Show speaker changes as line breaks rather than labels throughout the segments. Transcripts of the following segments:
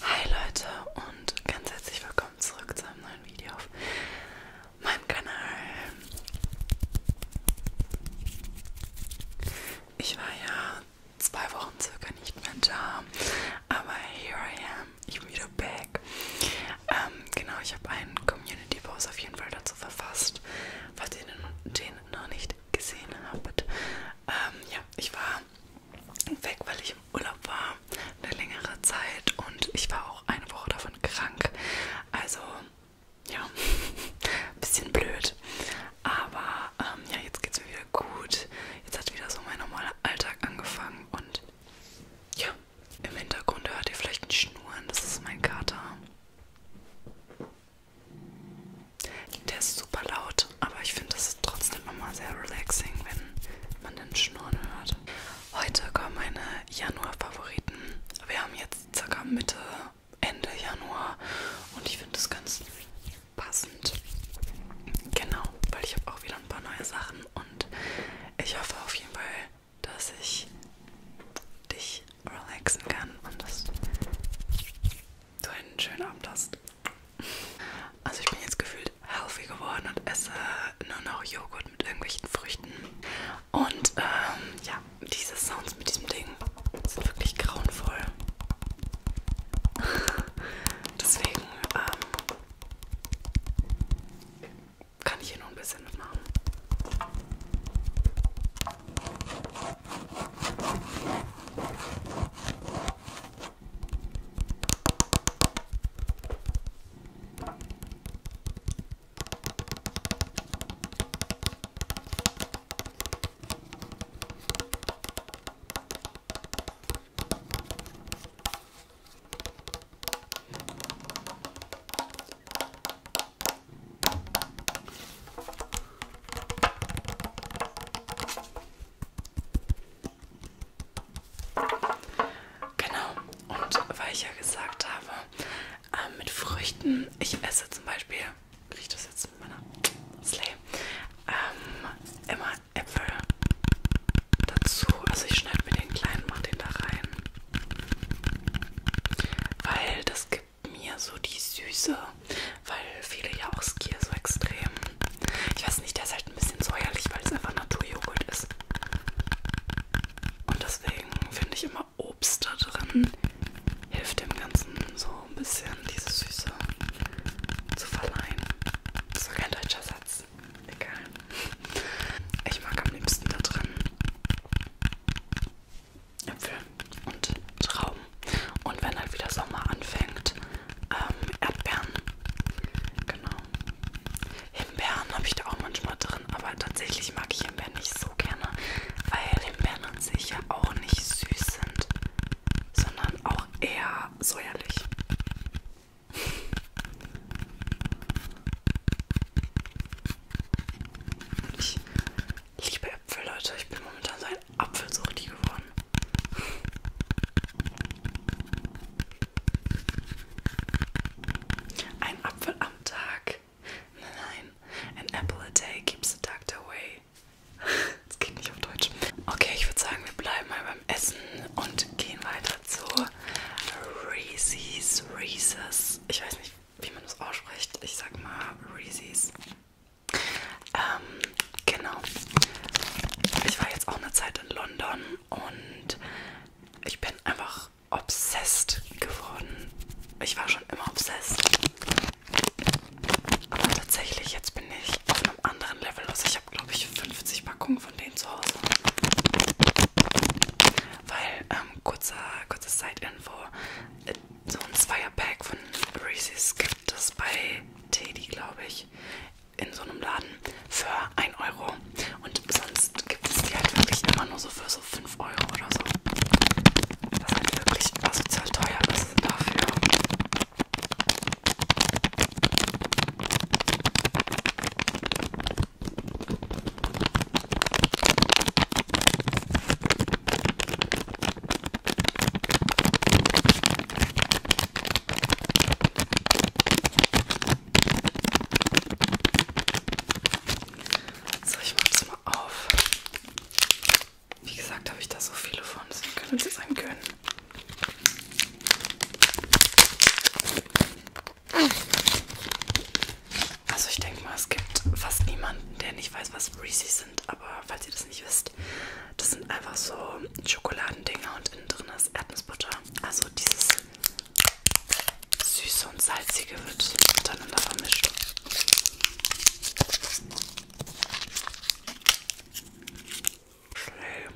Hi Leute und ganz herzlich willkommen zurück zu einem neuen Video auf meinem Kanal. Ich war ja zwei Wochen circa nicht mehr da, aber here I am. I'm wieder back Tag. Ähm, genau, ich habe einen Community Post auf jeden Fall dazu verfasst, falls ihr den, den noch nicht gesehen habt. Ähm, ja, ich war weg, weil ich im Urlaub war, eine längere Zeit und ich war auch eine Woche davon krank. Also, ja, ein bisschen blöd. Aber ähm, ja, jetzt geht's mir wieder gut. Jetzt hat wieder so mein normaler Alltag angefangen und ja, im Hintergrund hört ihr vielleicht ein Schnurren, das ist mein Kater. Der ist super laut, aber ich finde das trotzdem immer sehr relaxing, wenn man den Schnurren hört. Heute kommen meine Januar-Favoriten. Wir haben jetzt circa Mitte, Ende Januar und ich finde das ganz passend. Genau, weil ich habe auch wieder ein paar neue Sachen und ich hoffe auf jeden Fall, dass ich dich relaxen kann und dass du einen schönen Abend hast. Also ich bin jetzt gefühlt healthy geworden und esse nur noch Joghurt mit irgendwelchen Früchten. Und ähm, ja, diese Sounds mit diesem Ding sind wirklich grauenvoll. Deswegen ähm, kann ich hier noch ein bisschen mitmachen. Genau, und weil ich ja gesagt habe, äh, mit Früchten, ich esse zum Beispiel, riecht das jetzt mit meiner Slay, ähm, immer Äpfel dazu. Also ich schneide mir den kleinen, mache den da rein. Weil das gibt mir so die Süße. Weil viele ja auch Skier so extrem. Ich weiß nicht, der ist halt ein bisschen säuerlich, weil es einfach Naturjoghurt ist. Und deswegen finde ich immer Obst da drin hilft dem Ganzen so ein bisschen diese Süße zu verleihen. Das ist kein deutscher Satz ist egal. Ich mag am liebsten da drin Äpfel und Trauben. Und wenn halt wieder Sommer anfängt, ähm, Erdbeeren. Genau. Himbeeren habe ich da auch manchmal drin, aber tatsächlich mag ich Himbeeren nicht so gerne, weil Himbeeren an sich ja auch nicht süß sind, sondern auch eher säuerlich. Ich liebe Äpfel, Leute. Ich bin momentan so ein Apfelsuchti geworden. Ein Apfel am Tag. Nein, an apple a day keeps the doctor away. Das geht nicht auf Deutsch. Okay, ich würde sagen, wir bleiben mal beim Essen und gehen weiter zu Reese's. Reese's. Ich weiß nicht, wie man das ausspricht. Ich sag mal Reese's. Ähm, genau. Ich war jetzt auch eine Zeit in London und ich bin einfach obsessed geworden. Ich war schon immer obsessed. Aber tatsächlich, jetzt bin ich auf einem anderen Level, was ich ich habe, glaube ich, 50 Packungen von denen zu Hause. Weil, ähm, kurzer, kurze Side-Info, äh, so ein Zweierpack von Reese's gibt es bei Teddy, glaube ich, in so einem Laden für 1 Euro. Und sonst gibt es die halt wirklich immer nur so für so 5 Euro oder so. Das ist halt wirklich asozial teuer ist dafür. So, ich mache es mal auf. Wie gesagt, habe ich da so viele von. Das können wir uns jetzt einen gönnen. Also ich denke mal, es gibt fast niemanden, der nicht weiß, was Reese's sind. Aber falls ihr das nicht wisst, das sind einfach so Schokoladendinger und innen drin ist Erdnussbutter. Also dieses süße und salzige wird miteinander vermischt. Schnell.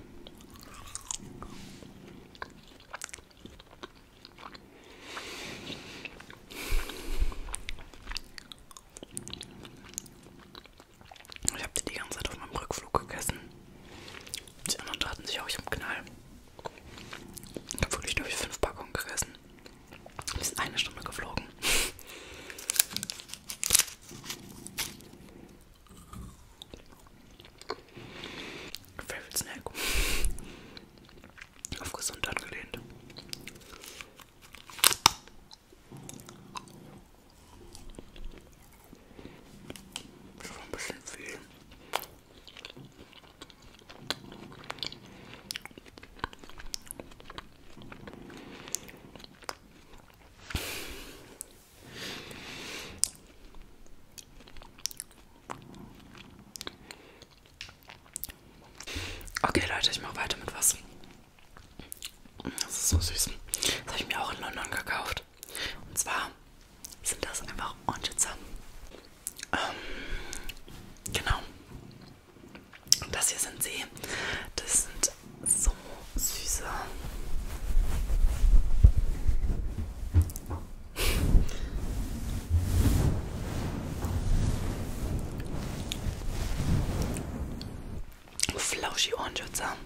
Ich habe die die ganze Zeit auf meinem Rückflug gegessen. Die anderen taten sich auch, ich habe Knall. Ich habe wirklich durch fünf Packungen gegessen. Wir sind eine Stunde geflogen. Favorite Snack. Auf Gesundheit gelehnt. Schon ein bisschen viel. Okay, Leute, ich mache weiter mit was. Das ist so süß. Das habe ich mir auch in London gekauft. Und zwar sind das einfach Orangenzer. Ähm, genau. Und das hier sind sie. Das sind so süße. Flauschige Ohrenschützer.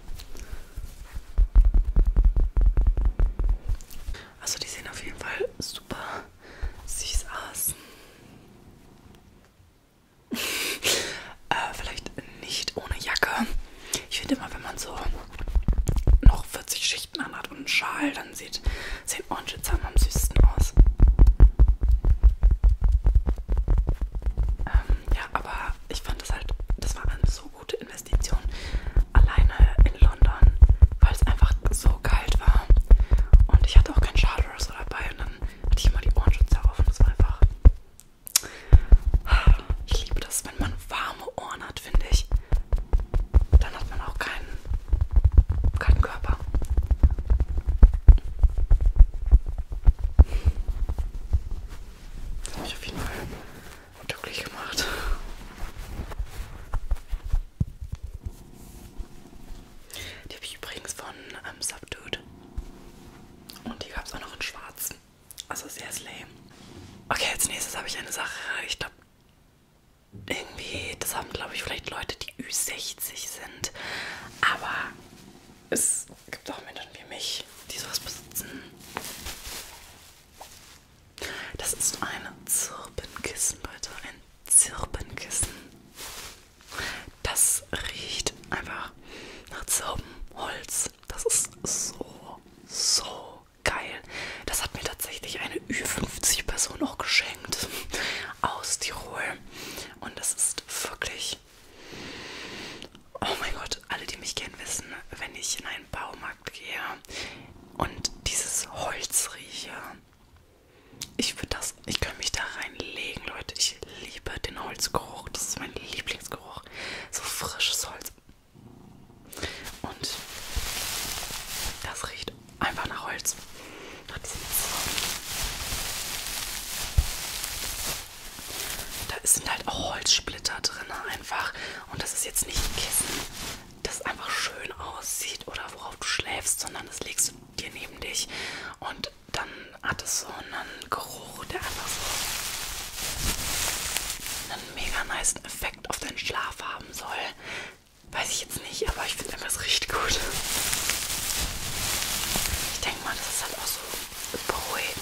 Also die sehen auf jeden Fall super süß aus. Äh, vielleicht nicht ohne Jacke. Ich finde immer, wenn man so noch 40 Schichten anhat und einen Schal, dann sieht, sieht Orange Zahn am süßesten aus. Ähm, ja, aber ich fand das halt, das war eine so gute Investition alleine in London, weil es einfach so kalt war. Und ich hatte auch keinen Schal oder so dabei und dann hatte ich immer die Ohrenschutzhörer auf und das war einfach ich liebe das, wenn man warme Ohren hat, finde ich. Dann hat man auch keinen, keinen Körper. Das hat mich auf jeden Fall glücklich gemacht. Die habe ich übrigens von ähm, Subdued. Und die gab es auch noch in schwarz. Also sehr lame. Okay, als nächstes habe ich eine Sache. Ich glaube, irgendwie, das haben, glaube ich, vielleicht Leute, die Ü60 sind. Aber es gibt auch Menschen wie mich, die sowas besitzen. Das ist ein Zirbenkissen, Leute. Ein Zirbenkissen. Das riecht einfach nach Zirbenholz das. Das ist so, so geil. Das hat mir tatsächlich eine Ü50-Person auch geschenkt aus Tirol. Und das ist wirklich... Oh mein Gott, alle, die mich kennen, wissen, wenn ich in einen Baumarkt gehe und dieses Holz rieche. Ich würde das, ich könnte mich da reinlegen, Leute. Ich liebe den Holzgeruch. Das ist mein Lieblings Holzgeruch. So frisches Holz. Und das riecht einfach nach Holz. Nach diesem da sind halt auch Holzsplitter drin einfach. Und das ist jetzt nicht ein Kissen, das einfach schön aussieht oder worauf du schläfst, sondern das legst du dir neben dich. Und dann hat es so einen Geruch, der einfach so einen mega nice Effekt auf deinen Schlaf haben soll. Weiß ich jetzt nicht, aber ich finde einfach, es riecht gut. Ich denke mal, das ist halt auch so beruhigend.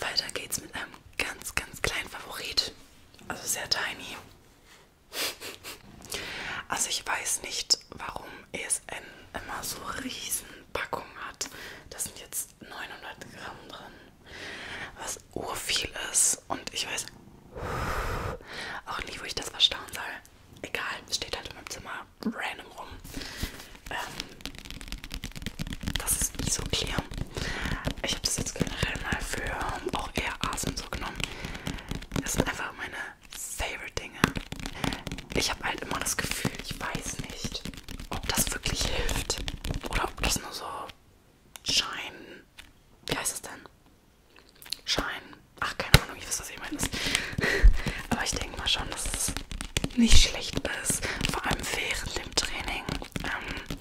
Weiter geht's mit einem ganz, ganz kleinen Favorit. Also sehr tiny. Also ich weiß nicht, warum ESN immer so riesen Packungen hat. Das sind jetzt 900 Gramm drin, was urviel ist. Und ich weiß auch nicht, wo ich das verstauen soll. Egal, steht halt in meinem Zimmer random rum. Ähm, das ist Isoclear. Ich habe das jetzt generell mal für auch eher Asien so genommen. Das sind einfach meine Favorite-Dinge. Ich habe halt immer das Gefühl, ich weiß nicht, ob das wirklich hilft oder ob das nur so Schein. Wie heißt das denn? Schein. Ach, keine Ahnung, ich weiß, was ich meine. Aber ich denke mal schon, dass es nicht schlecht ist. Vor allem während dem Training. Ähm,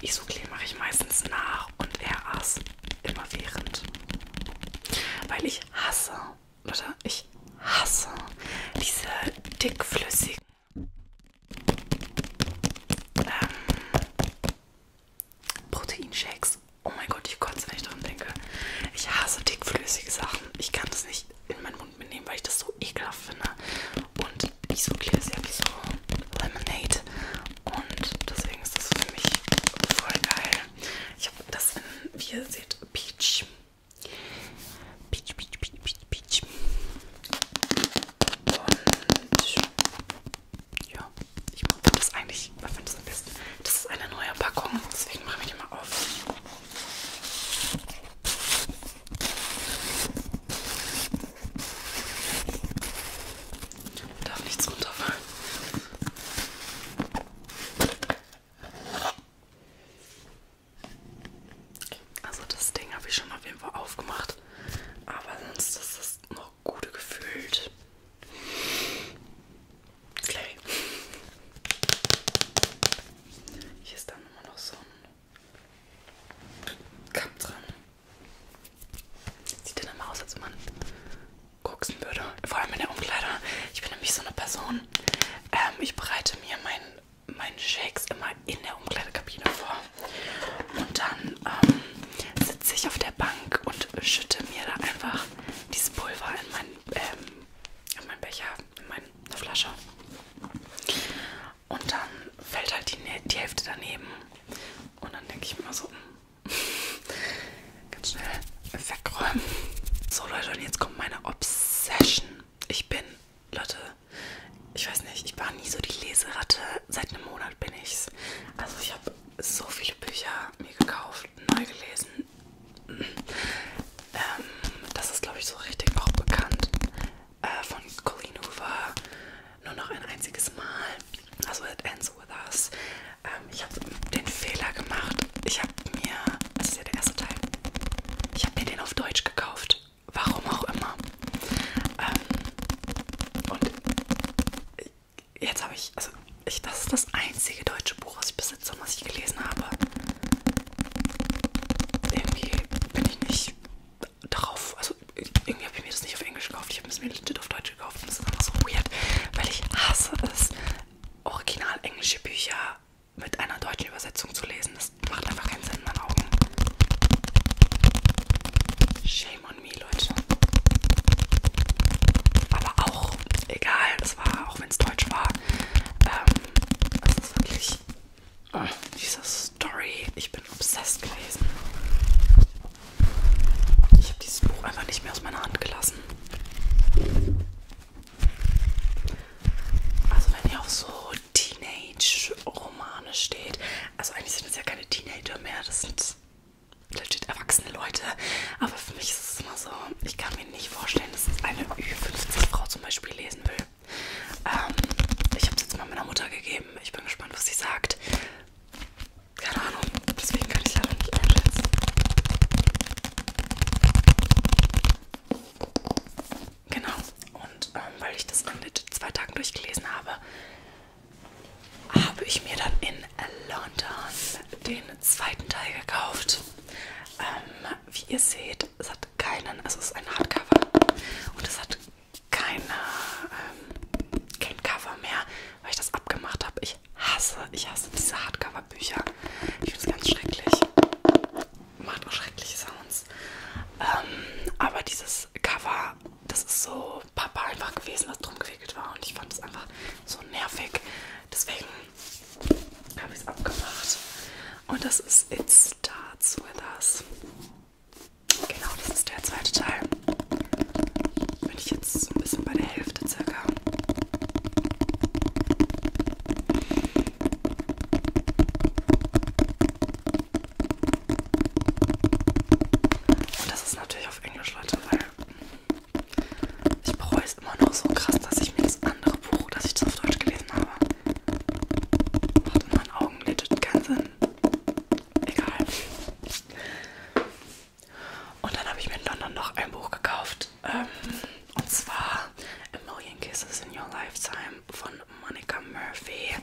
Isoklee mache ich meistens nach und er aß immer während. Weil ich hasse, oder? Ich hasse diese dickflüssigen ähm, Proteinshakes. Oh mein Gott, ich kotze, wenn ich dran denke. Ich hasse dickflüssige Sachen. Ich kann das nicht in meinen Mund mitnehmen, weil ich das so ekelhaft finde. Und Isokir ist ja wie so Lemonade. Und deswegen ist das für mich voll geil. Ich habe das in, wie ihr seht, Peach. Peach, Peach, Peach, Peach, Peach. Und ja, ich mag das eigentlich, ich finde das am besten. Das ist eine neue Packung, deswegen machen wir die mal auf. Darf nichts runterfallen. Also das Ding habe ich schon auf jeden Fall aufgemacht, aber sonst ist das noch gut gefüllt. Clay. Hier ist dann immer noch so ein Kamm dran. Sieht dann immer aus, als man koksen würde. Vor allem in der Umkleide. Ich bin nämlich so eine Person. Ähm, ich bereite mir meinen mein Shakes immer in der Umkleidekabine vor. Und dann ähm, sitze ich auf der Bank und schütte mir da einfach dieses Pulver in meinen, ähm, in meinen Becher in meine Flasche. Und dann fällt halt die, die Hälfte daneben. Und dann denke ich mir so, ganz schnell wegräumen. So Leute, und jetzt kommt meine Obsession. Ich bin, Leute, ich weiß nicht, ich war nie so die Leseratte. Seit einem Monat bin ich's. Also ich habe so viele Bücher mir gekauft, neu gelesen, ähm, das ist, glaube ich, so richtig auch bekannt. Äh, von Colleen Hoover. Nur noch ein einziges Mal. Also, It Ends With Us. Ähm, ich habe den Fehler gemacht. Ich habe mir, das ist ja der erste Teil, ich habe mir den auf Deutsch gekauft. Warum auch immer. Ähm, und jetzt habe ich, also ich, das ist das einzige deutsche Buch, was ich besitze und was ich gelesen habe irgendwie bin ich nicht darauf, also irgendwie habe ich mir das nicht auf Englisch gekauft, ich habe es mir legit auf Deutsch gekauft und das ist einfach so weird, weil ich hasse es, original englische Bücher mit einer deutschen Übersetzung zu lesen. Das macht einfach keinen Sinn in meinen Augen. Shame on me, Leute. Aber auch, egal, das war, auch wenn es deutsch war, ähm, das ist wirklich oh, diese Story. Ich bin obsessed gewesen. Ich habe dieses Buch einfach nicht mehr aus meiner Hand gelassen. Also wenn ihr auf so Teenage-Romane steht, also eigentlich sind es ja keine Teenager mehr, das sind legit erwachsene Leute, aber für mich ist es immer so, ich kann mir nicht vorstellen, dass es eine Ü50-Frau zum Beispiel lesen will. Ähm, ich habe es jetzt mal meiner Mutter gegeben. Ich bin gespannt, was sie sagt. Keine Ahnung, deswegen kann ich leider nicht einschätzen. Genau, und ähm, weil ich das in zwei Tagen durchgelesen habe, habe ich mir dann in London den zweiten Teil gekauft. Ähm, wie ihr seht, es hat keinen, also es ist ein Hardcover und es hat keine, ähm, kein Cover mehr, weil ich das abgemacht habe. Ich hasse, ich hasse diese Hardcover-Bücher. Ich finde es ganz schrecklich. Macht auch schreckliche Sounds. Ähm, aber dieses Cover, das ist so Papa einfach gewesen, was drum gewickelt war und ich fand es einfach so nervig. Deswegen habe ich es abgemacht. Und das ist It Starts With Us. Genau, das ist der zweite Teil. Bin ich jetzt so ein bisschen bei der Hälfte circa. Und das ist natürlich auf Englisch, Leute, weil ich bereue es immer noch so krass, dass ich mir das andere Buch, das ich das auf Deutsch gelesen habe, macht in meinen Augen legit keinen Sinn. Egal. Und dann habe ich mir in London noch ein Buch gekauft. Ähm, und zwar A Million Kisses in Your Lifetime von Monica Murphy.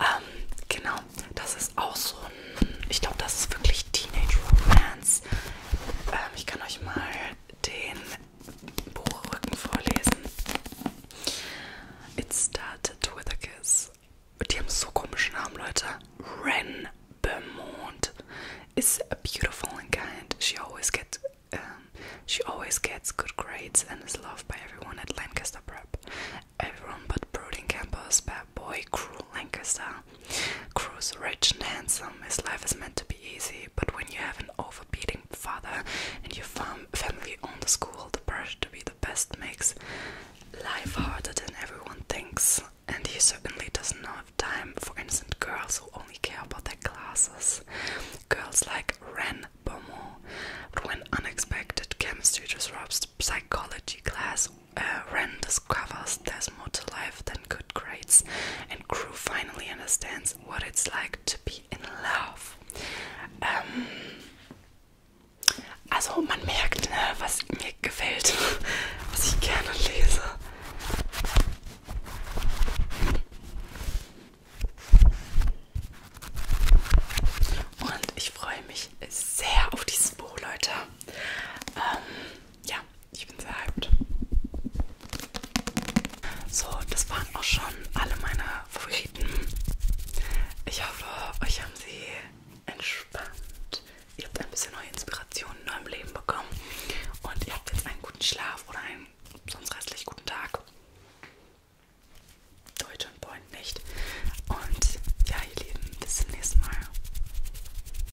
Ähm, genau, das ist auch so ein. Ich glaube, das ist wirklich Teenage Romance. Ähm, ich kann euch mal den Buchrücken vorlesen. It started with a kiss. Die haben so komische Namen, Leute. Ren Beaumont is beautiful and kind. She always gets um, she always gets good grades and is loved by everyone at Lancaster Prep. Everyone but brooding campus, bad boy, cruel Lancaster, Cruz, rich and handsome, his life is meant to be easy, but when you have an overbearing father and your fam family own the school, the pressure to be the best makes life harder than everyone thinks. And he certainly doesn't have time for innocent girls who only care about their classes. Girls like Ren Beaumont. But when unexpected chemistry disrupts the psychology class, uh, Ren discovers there's more to life than good grades, and Crew finally understands what it's like to be in love. Ähm, also man merkt, ne, was mir gefällt, was ich gerne lese. Und ich freue mich sehr auf dieses Buch, Leute. Ähm, ja, ja, ich bin sehr hyped. So, das waren auch schon alle meine Favoriten. Ich hoffe, euch haben sie entspannt. Ihr habt ein bisschen neue Inspirationen in eurem Leben bekommen. Und ihr habt jetzt einen guten Schlaf oder einen sonst restlich guten Tag. Deutsche und Point nicht. Und ja, ihr Lieben, bis zum nächsten Mal.